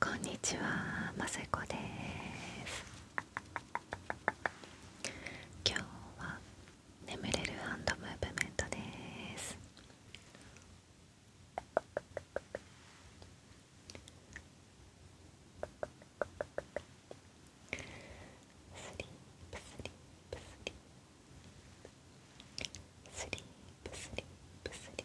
こんにちは、ませこです今日は眠れるハンドムーブメントですスリープスリープスリースリープスリスリープスリープスリー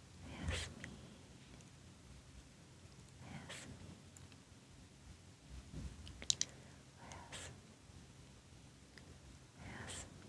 Yasmin. Yasmin. Yes. Yasmin. Yasmin.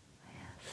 Yes. Relax.